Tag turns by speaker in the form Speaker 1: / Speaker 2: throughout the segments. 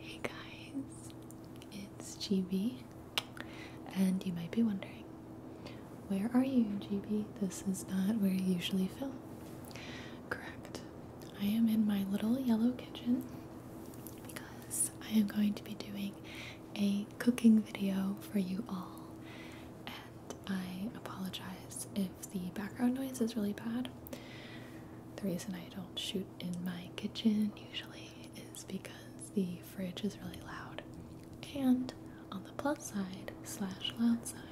Speaker 1: Hey guys, it's GB, and you might be wondering, where are you, GB? This is not where you usually film. Correct. I am in my little yellow kitchen because I am going to be doing a cooking video for you all, and I apologize if the background noise is really bad. The reason I don't shoot in my kitchen usually is because the fridge is really loud. And on the plus side, slash loud side,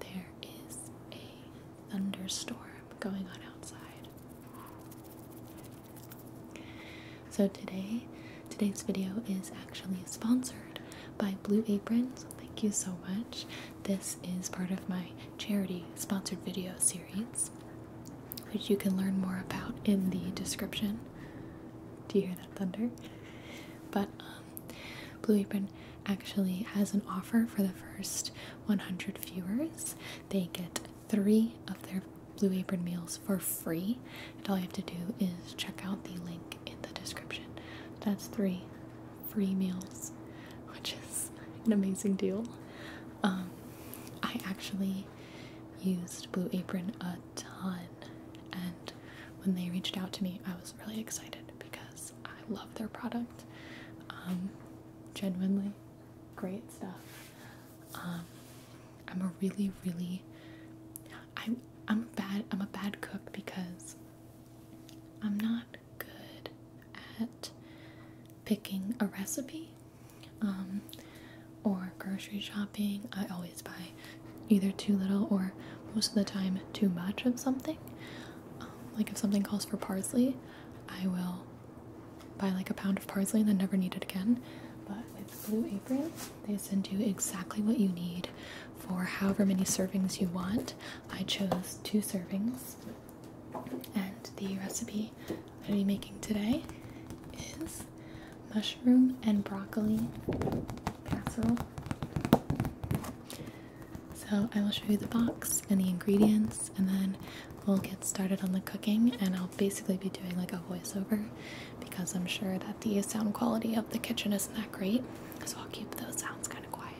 Speaker 1: there is a thunderstorm going on outside. So today, today's video is actually sponsored by Blue Apron. So Thank you so much. This is part of my charity sponsored video series, which you can learn more about in the description. Do you hear that thunder? But um, Blue Apron actually has an offer for the first 100 viewers. They get three of their Blue Apron meals for free, and all you have to do is check out the link in the description. That's three free meals, which is an amazing deal. Um, I actually used Blue Apron a ton, and when they reached out to me, I was really excited because I love their product. Um, genuinely great stuff. Um, I'm a really, really I'm I'm bad I'm a bad cook because I'm not good at picking a recipe um, or grocery shopping. I always buy either too little or most of the time too much of something. Um, like if something calls for parsley, I will buy like a pound of parsley and then never need it again. But with Blue Apron, they send you exactly what you need for however many servings you want. I chose two servings, and the recipe I'm going to be making today is mushroom and broccoli casserole. So I will show you the box and the ingredients, and then we'll get started on the cooking. And I'll basically be doing like a voiceover because I'm sure that the sound quality of the kitchen isn't that great. So I'll keep those sounds kind of quiet.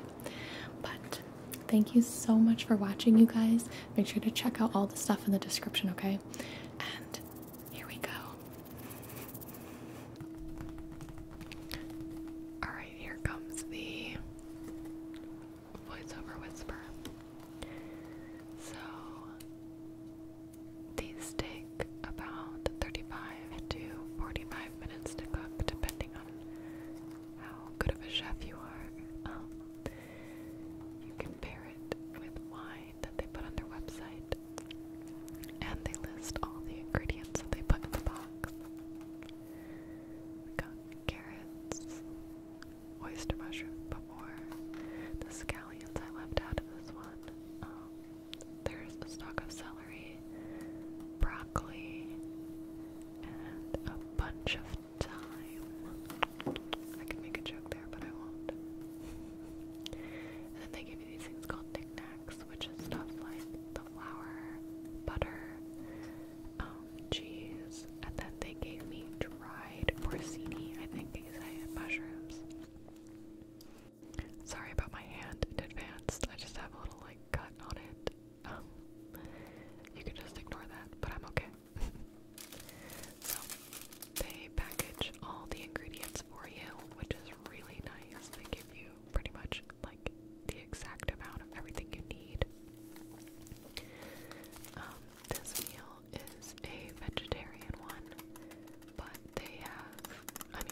Speaker 1: But thank you so much for watching, you guys. Make sure to check out all the stuff in the description, okay? And here we go. Alright, here comes the voiceover whisper. So, these take about 35 to 45 five minutes to cook, depending on how good of a chef you are. Um, you can pair it with wine that they put on their website, and they list all the ingredients that they put in the box. We got carrots, oyster mushroom, before the scallions I left out of this one. Um, there's a stalk of celery, broccoli, and a bunch of thyme. I could make a joke there, but I won't. and then they give you these things called knickknacks, which is stuff like the flour, butter, um, cheese, and then they gave me dried porcini, I think these I had mushrooms. Sorry about my hand in advance. I just have a little like cut on it. Um, you can just ignore that, but I'm okay. so they package all the ingredients for you, which is really nice. They give you pretty much like the exact amount of everything you need. Um, this meal is a vegetarian one, but they have,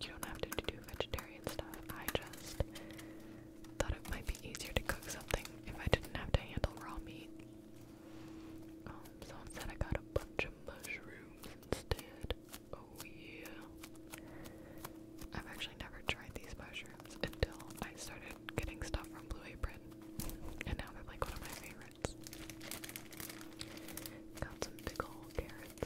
Speaker 1: you don't have to do vegetarian stuff. I just thought it might be easier to cook something if I didn't have to handle raw meat. Um, so I got a bunch of mushrooms instead. Oh yeah. I've actually never tried these mushrooms until I started getting stuff from Blue Apron. And now they're like one of my favorites. Got some big carrots.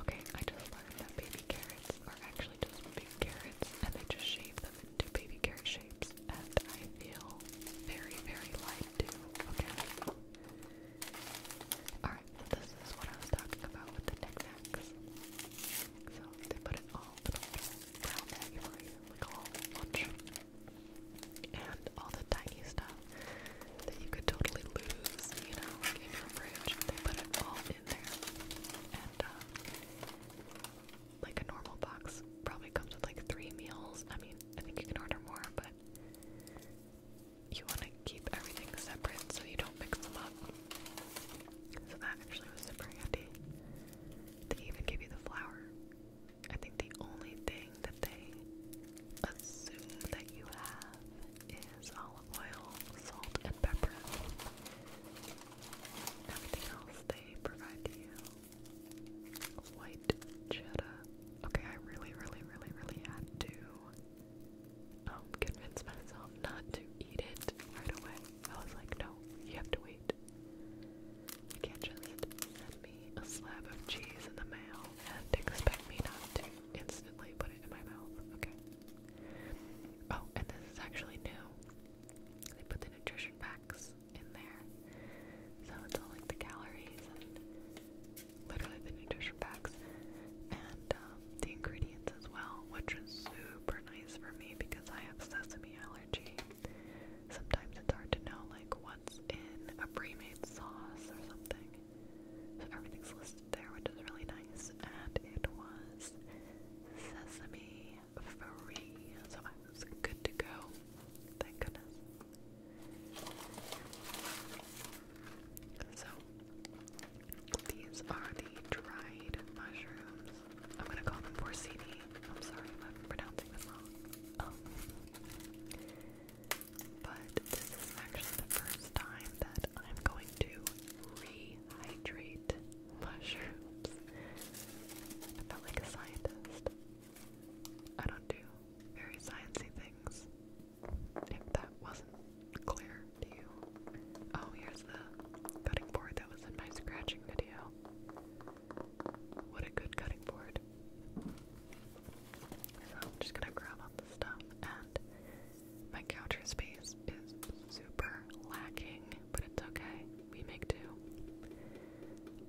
Speaker 1: Okay, I just learned that baby carrots are actually just big carrots and they just shave them into baby carrot shapes and I feel very, very light too, okay? Alright, this is what I was talking about with the knickknacks. So they put it all in a little brown bag for you, like a whole And all the tiny stuff that you could totally lose, you know, in your fridge. put it all in there. And, um, like a normal box probably comes with like three meals. I mean, I think you can order more, but you want to keep everything separate so you don't mix them up. So that actually was super handy. They even give you the flour. I think the only thing that they assume that you have is olive oil, salt, and pepper. Everything else they provide to you. White cheddar. Okay, I really, really, really, really had to um, convince myself not to eat it right away. I was like, no, you have to wait. You can't just send me a slab of cheese in the mail and expect me not to instantly put it in my mouth. Okay. Oh, and this is actually new. They put the nutrition facts in there. So it's all like the calories and literally the nutrition facts and um, the ingredients as well, which is super nice for me because I have sesame allergy. Sometimes it's hard to know like what's in a pre-made sauce or something. So everything's listed there, which is really nice. And it was sesame free, so I was good to go. Thank goodness. So these are the dried mushrooms. I'm gonna call them porcini. I'm sorry I'm pronouncing them wrong. Oh. But this is actually the first time that I'm going to rehydrate mushrooms. I felt like a scientist. I don't do very sciencey things. If that wasn't clear to you. Oh, here's the cutting board that was in my scratching video. What a good cutting board. So I'm just gonna grab all the stuff and my counter space is super lacking, but it's okay. We make do.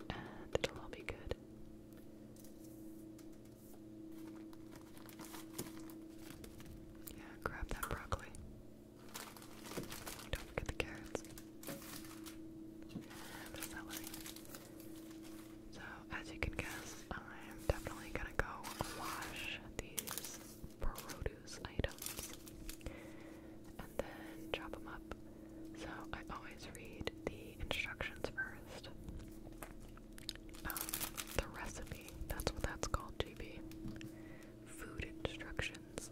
Speaker 1: And it'll all be good. Yeah, grab that broccoli. Don't forget the carrots. And the celery. So, as you can guess, I'm definitely gonna go wash these produce items and then chop them up. So, I always read the instructions first. Um, the recipe, that's what that's called, GB. Food instructions.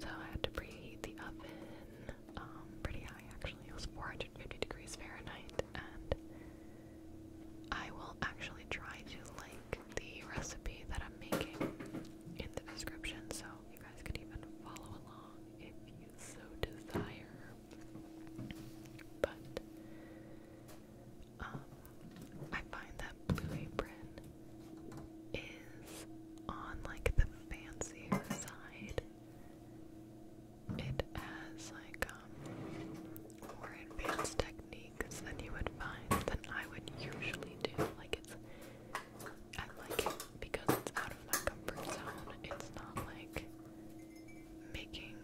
Speaker 1: So, I had to preheat the oven um, pretty high actually. It was 450 degrees Fahrenheit, and I will actually try to link the recipe that I'm making in the description so you guys can even follow along if you so desire. But um, I find that Blue Apron is on like the fancier side it has like um more advanced techniques than you would find than I would usually do. Like it's I like it because it's out of my comfort zone. It's not like making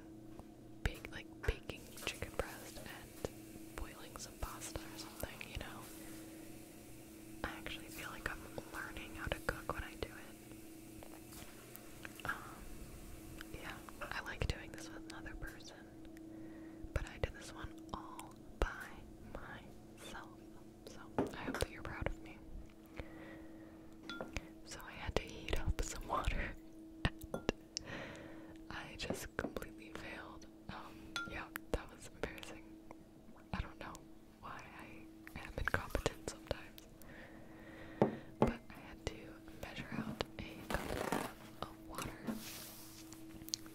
Speaker 1: big like baking chicken breast and boiling some pasta or something, you know. I actually feel like I'm learning how to cook when I do it. Um, yeah, I like doing this with another person, but I did this one all by myself. So I hope that you're proud of me. So I had to heat up some water, and I just completely failed. Um, yeah, that was embarrassing. I don't know why I am incompetent sometimes. But I had to measure out a cup and a half of water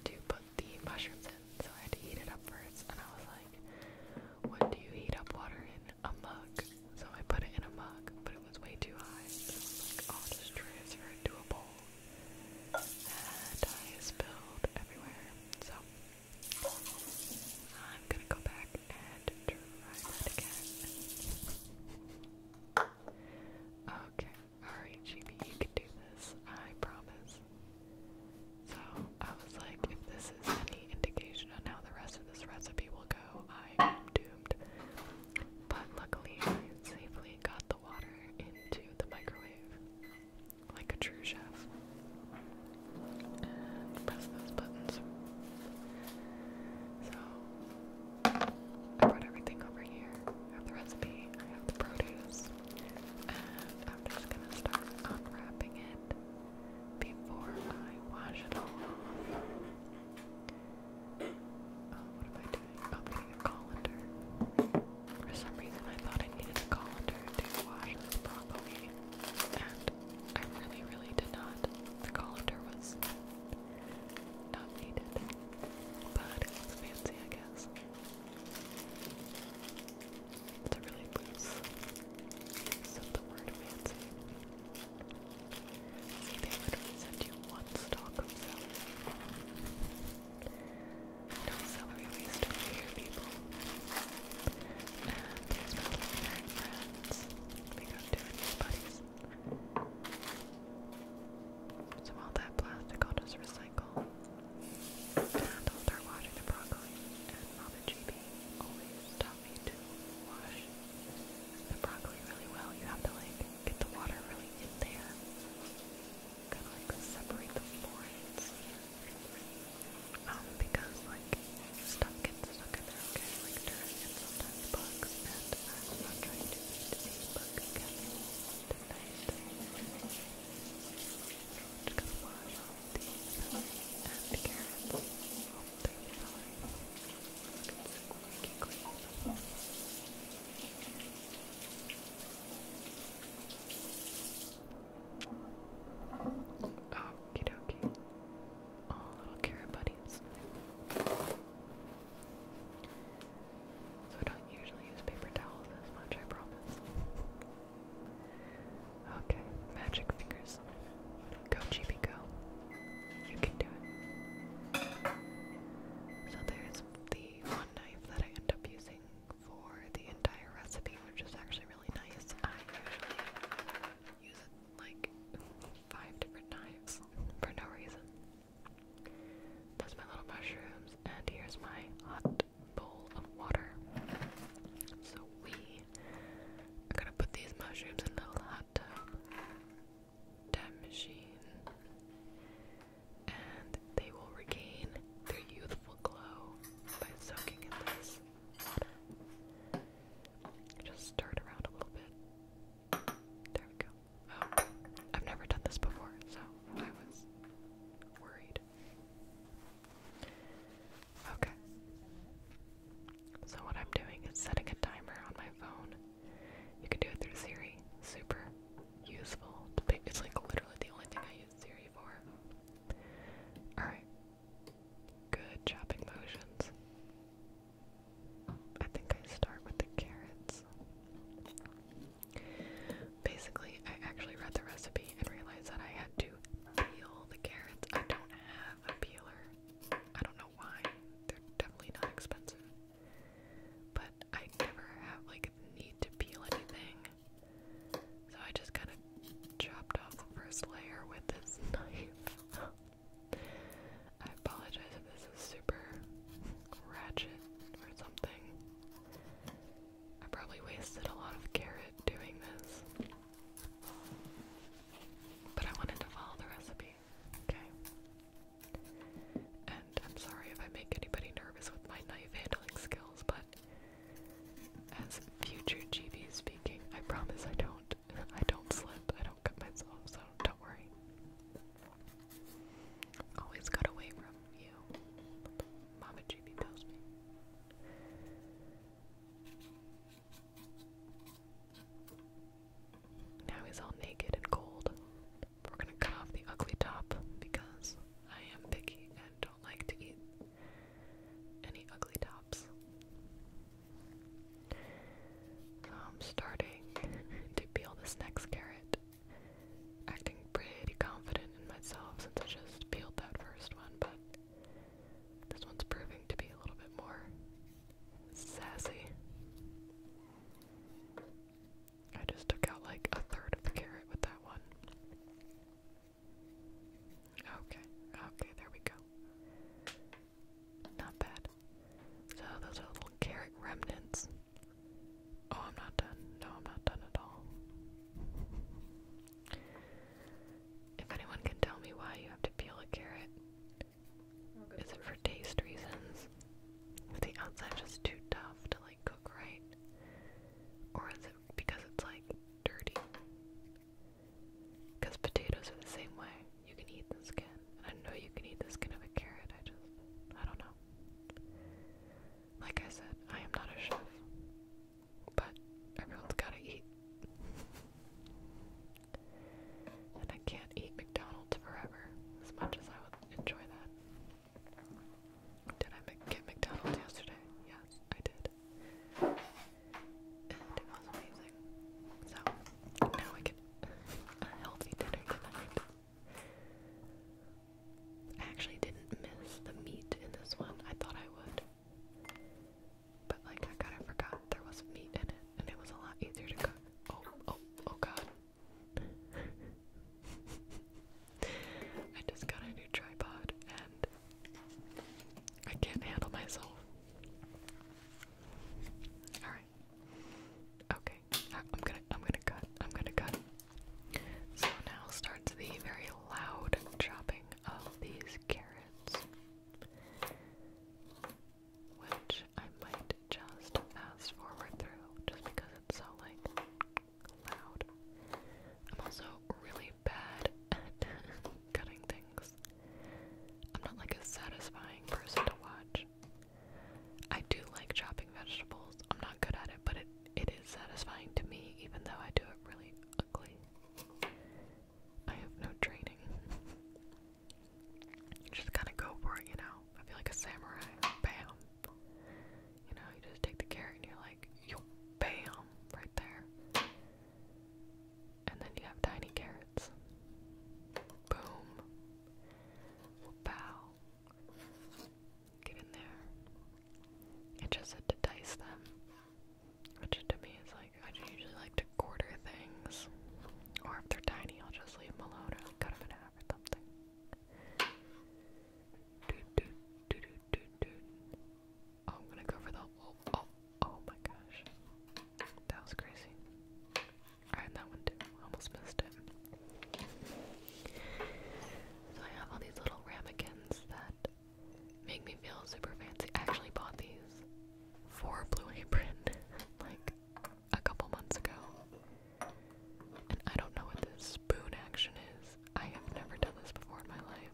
Speaker 1: to put the mushrooms in, so I had to heat it up first. And I was like, "What do you heat up water in? A mug." So I put it in a mug, but it was way too high. So I was like, oh, "I'll just transfer it to a bowl." And I spilled everywhere. So I'm gonna go back and try that again. Okay, alright, GB, you can do this. I promise. So, I was like, if this is any indication on how the rest of this recipe will go, I am doomed. But luckily, I safely got the water into the microwave like a true chef press those buttons. So I brought everything over here. I have the recipe, I have the produce, and I'm just gonna start unwrapping it before I wash it all Oh, what am I doing? Oh, I'm getting a colander. For some reason, I thought I needed a colander to wash this broccoli I really, really did not. The colander was not needed, but it was fancy, I guess. It's a really loose use of the word fancy. See, they you one stalk of celery. No celery waste over here, people. And here's my imaginary friends. We got two buddies. So all that plastic I'll just recycle. And I'll start washing the broccoli. And Mama GB always taught me to wash the broccoli really well. You have to like get the water really in there. Kind of like separate the florets. Um, because like stuff gets stuck in there, Like dirt and sometimes bugs, and I'm not trying to eat a bug again tonight. Just gonna wash these um, and carrots. Hope they're fine. It's Okie dokie. Oh, little carrot buddies. So I don't usually use paper towels as much, I promise. Okay, magic fingers. Go, Chibi, go. You can do it. So there's the one knife that I end up using for the entire recipe, which is actually really nice. I usually use it like five different knives for no reason. That's my little mushrooms, and here's my hot bowl of water. So we are gonna put these mushrooms in the little hot tub, tub machine, and they will regain their youthful glow by soaking in this just stir it around a little bit. There we go. Oh, I've never done this before, so I was worried. Okay. So what I'm doing is setting a timer on my phone. You can do it through Siri. Super useful. It's like literally the only thing I use Siri for. Alright, good chopping motions. I think I start with the carrots. Basically, I actually read the recipe and realized that I had to peel the carrots. I don't have a peeler. I don't know why. They're definitely not expensive. But I never have like need to peel anything. So I just kind of chopped off the first layer with this knife. I apologize if this is super ratchet or something. I probably wasted a lot of carrot doing this. But I wanted to follow the recipe. Okay. And I'm sorry if I make anybody nervous with my knife handling skills, but as future GB speaking, I promise I don't. I don't slip. I don't cut myself, so don't worry. Always got away from you. Mama GB tells me. Now he's all naked and cold. We're gonna cut off the ugly top because I am picky and don't like to eat any ugly tops. I'm starting to peel this next carrot. Acting pretty confident in myself since I just peeled that first one, but this one's proving to be a little bit more sassy. I just took out like a third of the carrot with that one. Okay, okay, there we go. Not bad. So those little carrot remnants. Oh, I'm not done. No, I'm not done at all. If anyone can tell me why you have to peel a carrot, oh, is it for taste reasons? Is the outside just too tough to like? cook right? Or is it because it's like dirty? Because potatoes are the same way. You can eat the skin. I know you can eat the skin of a carrot. I just, I don't know. Like I said, I am not a chef. But everyone's gotta eat. and I can't eat McDonald's forever as much as I would enjoy that. Did I get McDonald's yesterday? Yes, I did. And it was amazing. So, now I a healthy dinner tonight. actually didn't miss the meat in this one. I thought I would. But, like, I kind of forgot there was meat in it, and it was a lot easier to cook. Oh, oh, oh god. I just got a new tripod and I can't handle myself. Alright. Okay. Uh, I'm gonna I'm gonna cut. I'm gonna cut. So now starts the very loud chopping of these carrots. Which I might just fast forward through just because it's so like loud. I'm also really bad at cutting things. I'm not like a satisfying person to watch. I do like chopping vegetables. I'm not good at it, but it it is satisfying to me even though I do it really ugly. I have no training. Just kind of go for it, you know. I feel like a samurai. Bam. You know, you just take the carrot and you're like, yo, bam, right there. And then you have tiny carrots. Boom. Bow. Get in there. It just said to dice them. Which to me is like, I usually like to quarter things. Or if they're tiny, I'll just leave them alone or cut them in half or something. Oh, I'm gonna go for the. Oh, oh, oh my gosh. That was crazy. I that one too. Almost missed it. So I have all these little ramekins that make me feel super fancy. actually bought these for Blue Apron like a couple months ago. And I don't know what this spoon action is. I have never done this before in my life.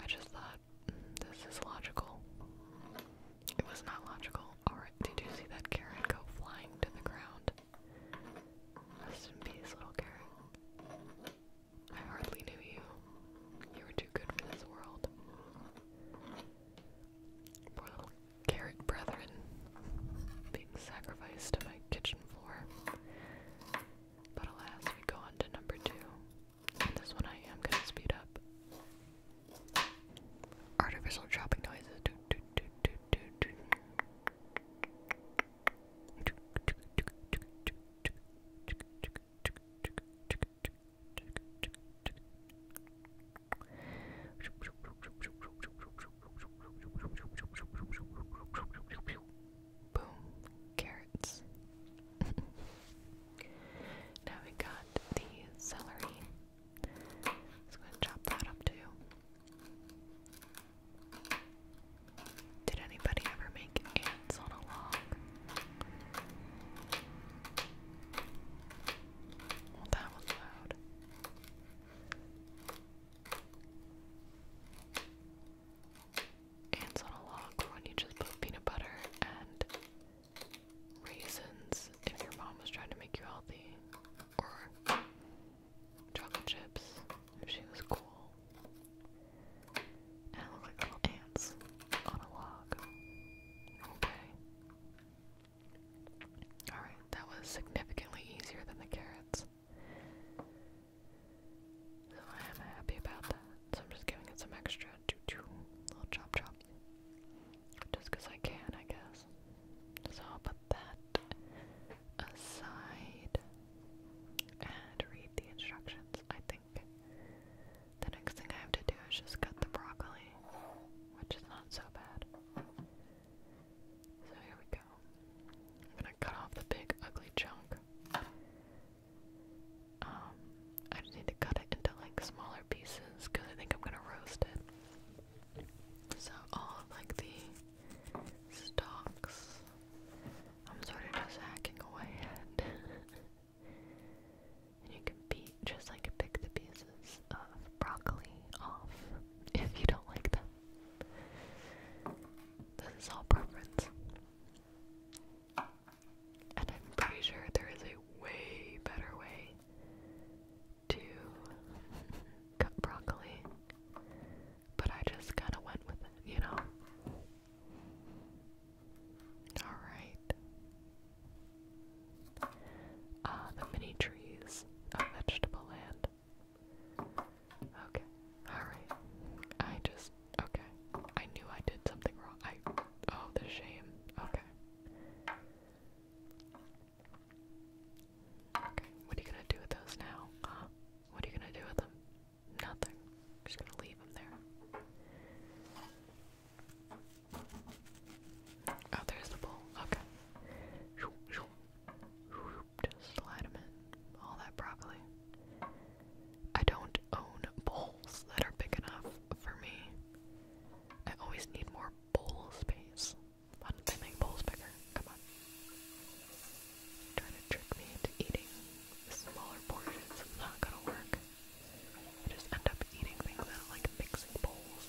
Speaker 1: I just thought, mm, this is logical. It was not logical. Alright, did you see that carrot go flying to the ground? Rest in peace, little carrot. I hardly knew you. You were too good for this world. Poor little carrot brethren being sacrificed to my kitchen floor. But alas, we go on to number two. this one I am gonna speed up. Artificial chopping noises. Boom. Carrots. now we got the celery. Let's go and chop that up too. Did anybody ever make ants on a log? Well, that was loud. Ants on a log when you just put peanut butter and raisins if your mom was trying to make you healthy. Or chocolate chips if she was cool. And look like little ants on a log. Okay. Alright, that was significantly easier than the carrots. So I am happy about that. So I'm just giving it some extra choo choo little chop chop. Just because I can, I guess. So I'll put that aside and read the instructions, I think. The next thing I have to do is just cut the broccoli, which is not so bad. So here we go. I'm gonna cut off the big ugly chunk. Um, I just need to cut it into like smaller pieces because I think I'm gonna roast it. So all like the stalks, I'm sort of just hacking away and you can be just like pick the pieces of broccoli off if you don't like them. This is all preference. And I'm pretty sure there is a way better way to cut broccoli, but I just kind of went with it, you know? Alright. Uh, the mini trees of vegetable land. Okay. Alright. I just okay. I knew I did something wrong. I oh the shame. Okay. Okay, what are you gonna do with those now? What are you gonna do with them? Nothing. just gonna leave them there. Oh, there's the bowl. Okay. Just slide them in. All that broccoli. I don't own bowls that are big enough for me. I always need more bowl space. Why don't they make bowls bigger? Come on. trying to trick me into eating smaller portions. not gonna work. I just end up eating things that like mixing bowls.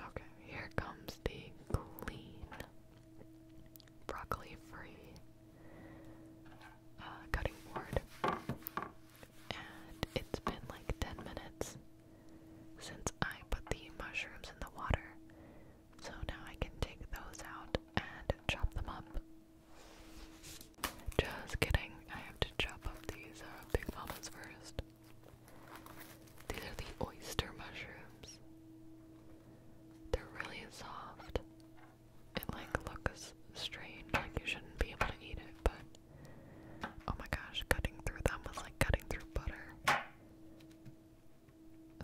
Speaker 1: Okay, here comes the clean broccoli free uh, cutting board. And it's been like 10 minutes since I put the mushrooms in the water. So now I can take those out and chop them up. Just kidding, I have to chop up these uh, Big Mamas first. These are the oyster mushrooms. They're really soft. It like looks strange, like you shouldn't be able to eat it, but oh my gosh, cutting through them was like cutting through butter.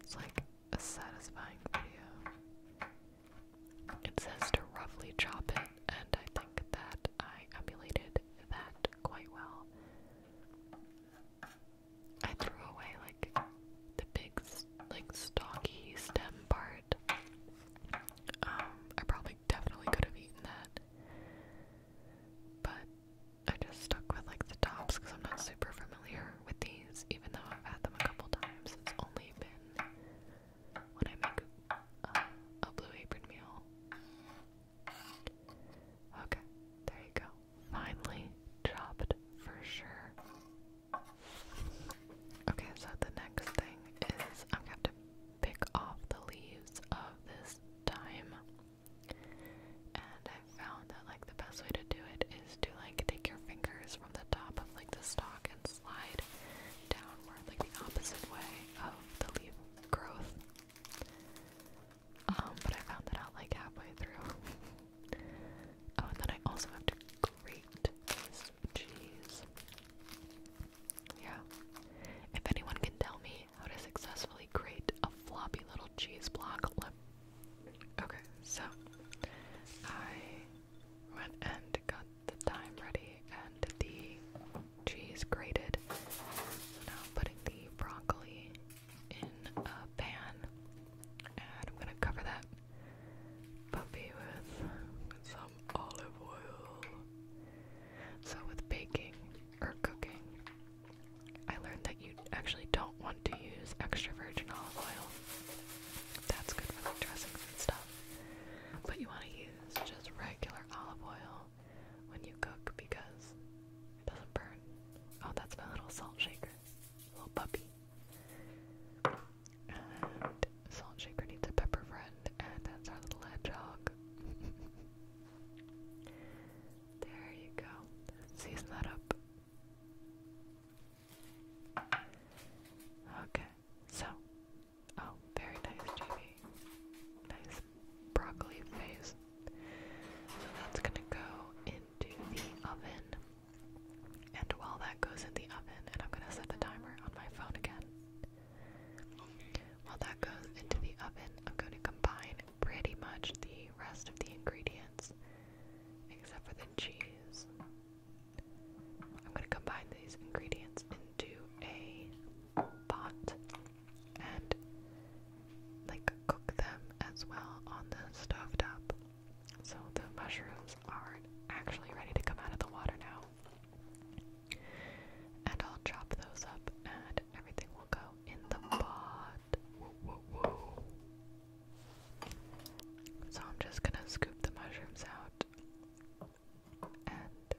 Speaker 1: It's like a satisfying video. It says to roughly chop it, and I think that I emulated that quite well. I threw away like the big, like stocky stem part. Um, I probably definitely could have eaten that, but I just stuck with like the tops because I'm not super familiar with these, even though I've had them a couple times. It's only been when I make a blue apron meal. Okay, there you go. Finally chopped for sure. Okay, so the next thing is I'm gonna have to pick off the leaves of this thyme. And I found that like the best way to do it is to like take your fingers from the top of like the stalk and slide downward like the opposite way of the leaf growth. Um, but I found that out like halfway through. oh, and then I also have to grate this cheese. Yeah. If anyone can tell me how to successfully grate a floppy little cheese block, Okay, so I went and got the time ready and the cheese grated. So now I'm putting the broccoli in a pan and I'm gonna cover that puppy with some olive oil. So with baking or cooking, I learned that you actually don't want to use extra virgin olive oil. That's good for like dressings and stuff. But you want to use just regular olive oil when you cook because it doesn't burn. Oh, that's my little salt shaker, little puppy. And salt shaker needs a pepper friend, and that's our little hedgehog. there you go. Season that up. Okay, so. Oh, very nice, Jamie. Nice broccoli phase. So that's gonna go into the oven. And while that goes in the oven, and I'm gonna set the timer on my phone again. While that goes into the oven, I'm going to combine pretty much the rest of the ingredients, except for the cheese. I'm going to combine these ingredients into a pot and like cook them as well on the stove So the mushrooms are actually ready to come out of the water now. And I'll chop those up and everything will go in the pot. So I'm just gonna scoop the mushrooms out and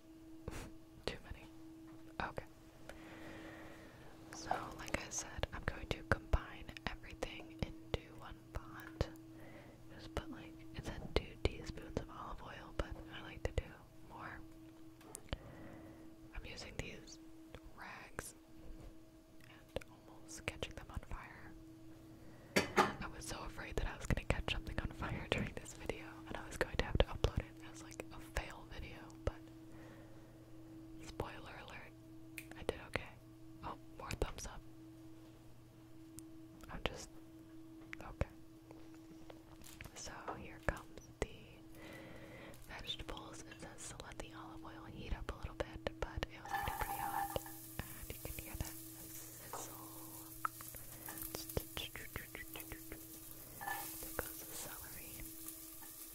Speaker 1: too many. Okay. So, like I said, I'm going to combine everything into one pot. Just put like, it said two teaspoons of olive oil, but I like to do more. I'm using these rags and almost catching them on fire. I was so afraid that I was going to catch something on fire during this video and I was going to have to upload it it as like a fail video, but spoiler alert, I did okay. Oh, more thumbs up. I'm just okay. So here comes the vegetables. It says to let the olive oil heat up a little bit, but it was already pretty hot, and you can hear that sizzle. There goes the celery.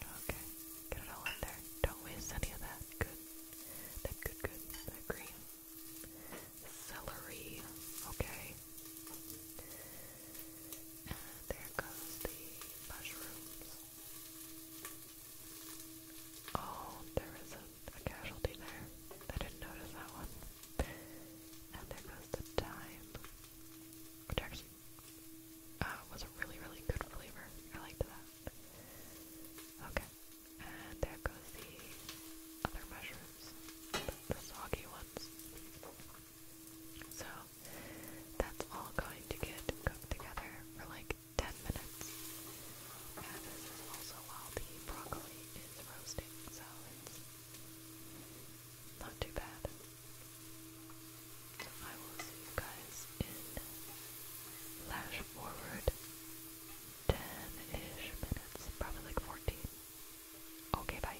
Speaker 1: Okay, get it all in there. Don't waste any of that. Good. That good, good. That green. Celery. Okay. there goes the mushrooms. Oh, there is a casualty there. I didn't notice that one. And there goes the thyme, which actually uh, was a really, really good flavor. I liked that. Okay, and there goes the other mushrooms, the soggy ones. So that's all going to get cooked together for like 10 minutes. And this is also while the broccoli is roasting, so it's not too bad. I will see you guys in flash forward 10-ish minutes, probably like 14. Okay, bye.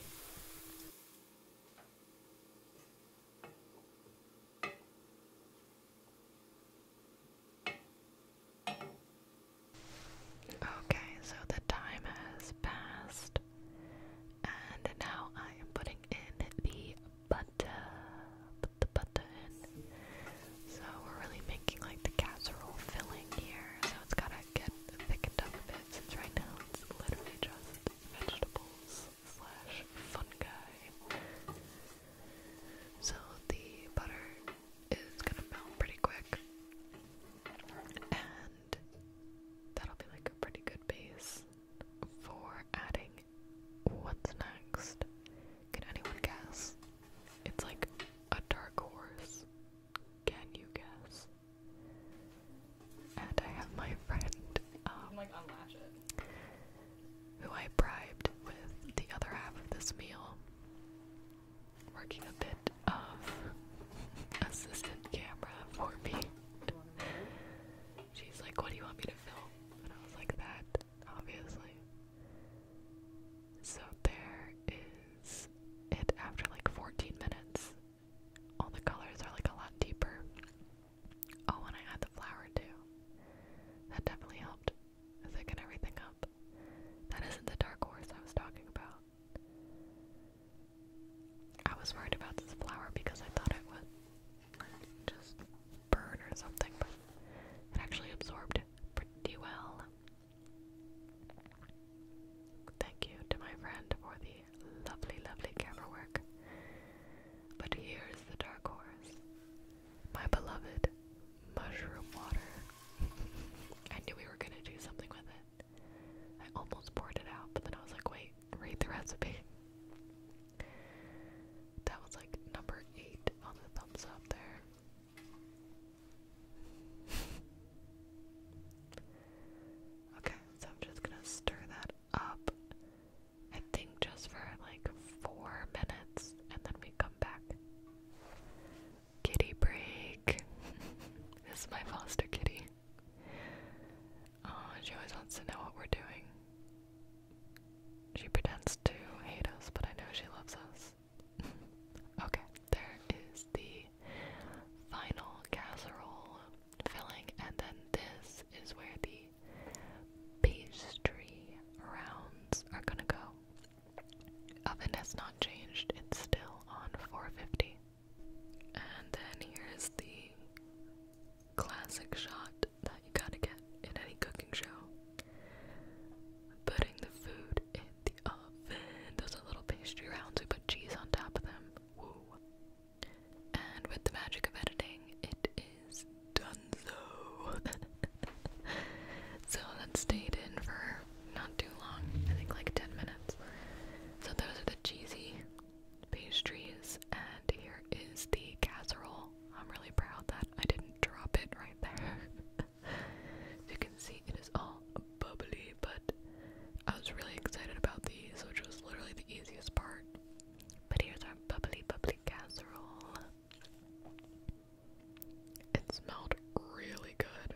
Speaker 1: Okay, so the time has passed, and now I am putting in the butter. Put the butter in. So we're really making like the casserole filling here, so it's gotta get thickened up a bit since right now it's literally just vegetables slash fungi. So the butter is gonna melt pretty quick. And that'll be like a pretty good base for adding what's next. Can anyone guess? It's like a dark horse. Can you guess? And I have my friend, um, who I bribed with the other half of this meal working a bit of assistant camera for me. She's like, What do you want me to film? And I was like, That, obviously. So there is it after like 14 minutes. All the colors are like a lot deeper. Oh, and I add the flower too. That definitely helped thicken everything up. That isn't the dark horse I was talking about. I was worried about this flower because I thought it would just burn or something, but it actually absorbed pretty well. Thank you to my friend for the lovely, lovely camera work. But here's the dark horse, my beloved mushroom water. I knew we were gonna do something with it. I almost poured it out, but then I was like, wait, read the recipe. That was like number eight on the thumbs up there. Okay, so I'm just gonna stir that up. I think just for like four minutes, and then we come back. Kitty break. this is my foster kitty. Oh, she always wants to know what we're doing. She pretends to hate us, but I know she loves us. okay, there is the final casserole filling, and then this is where the pastry rounds are gonna go. Oven has not changed, it's still on 450. And then here's the classic shot that you gotta get in any cooking show. Putting the food in the oven. Those are little pastry rounds, we put cheese on top of them. Woo. And with the magic of editing, it is donezo. so let's stay in for not too long. I think like 10 minutes. So those are the cheesy pastries, and here is the casserole. I'm really proud that I didn't drop it right there. you can see, it is all bubbly, but I was really excited about these, which was literally the easiest part. But here's our bubbly, bubbly casserole. It smelled really good.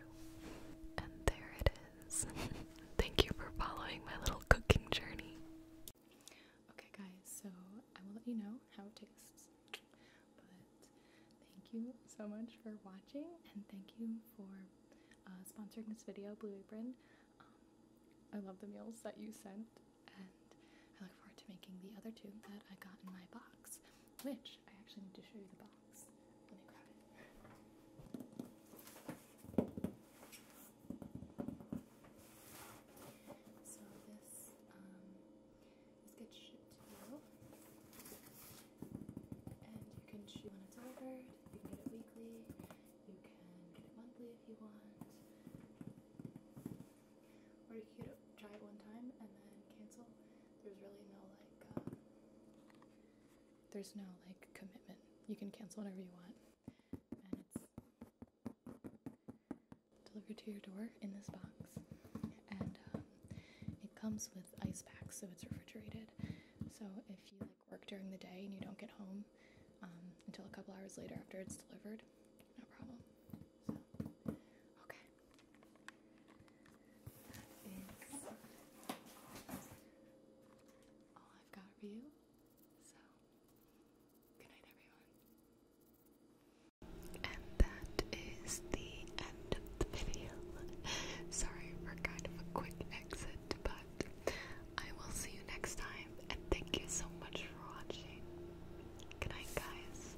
Speaker 1: And there it is. Thank you for following my little cooking journey. Okay, guys, so I will let you know how it tastes. But thank you so much for watching, and thank you for uh, sponsoring this video, Blue Apron. Um, I love the meals that you sent, and I look forward to making the other two that I got in my box which I actually need to show you the box. Let me grab it. So this um, gets shipped to you, and you can choose when it's ordered. You can get it weekly. You can get it monthly if you want, or you can try it one time and then cancel there's really no like um, there's no like commitment you can cancel whenever you want and it's delivered to your door in this box and um, it comes with ice packs so it's refrigerated so if you like work during the day and you don't get home um, until a couple hours later after it's delivered no problem so okay and that is the end of the video. Sorry for kind of a quick exit, but I will see you next time. And thank you so much for watching. Good night, guys.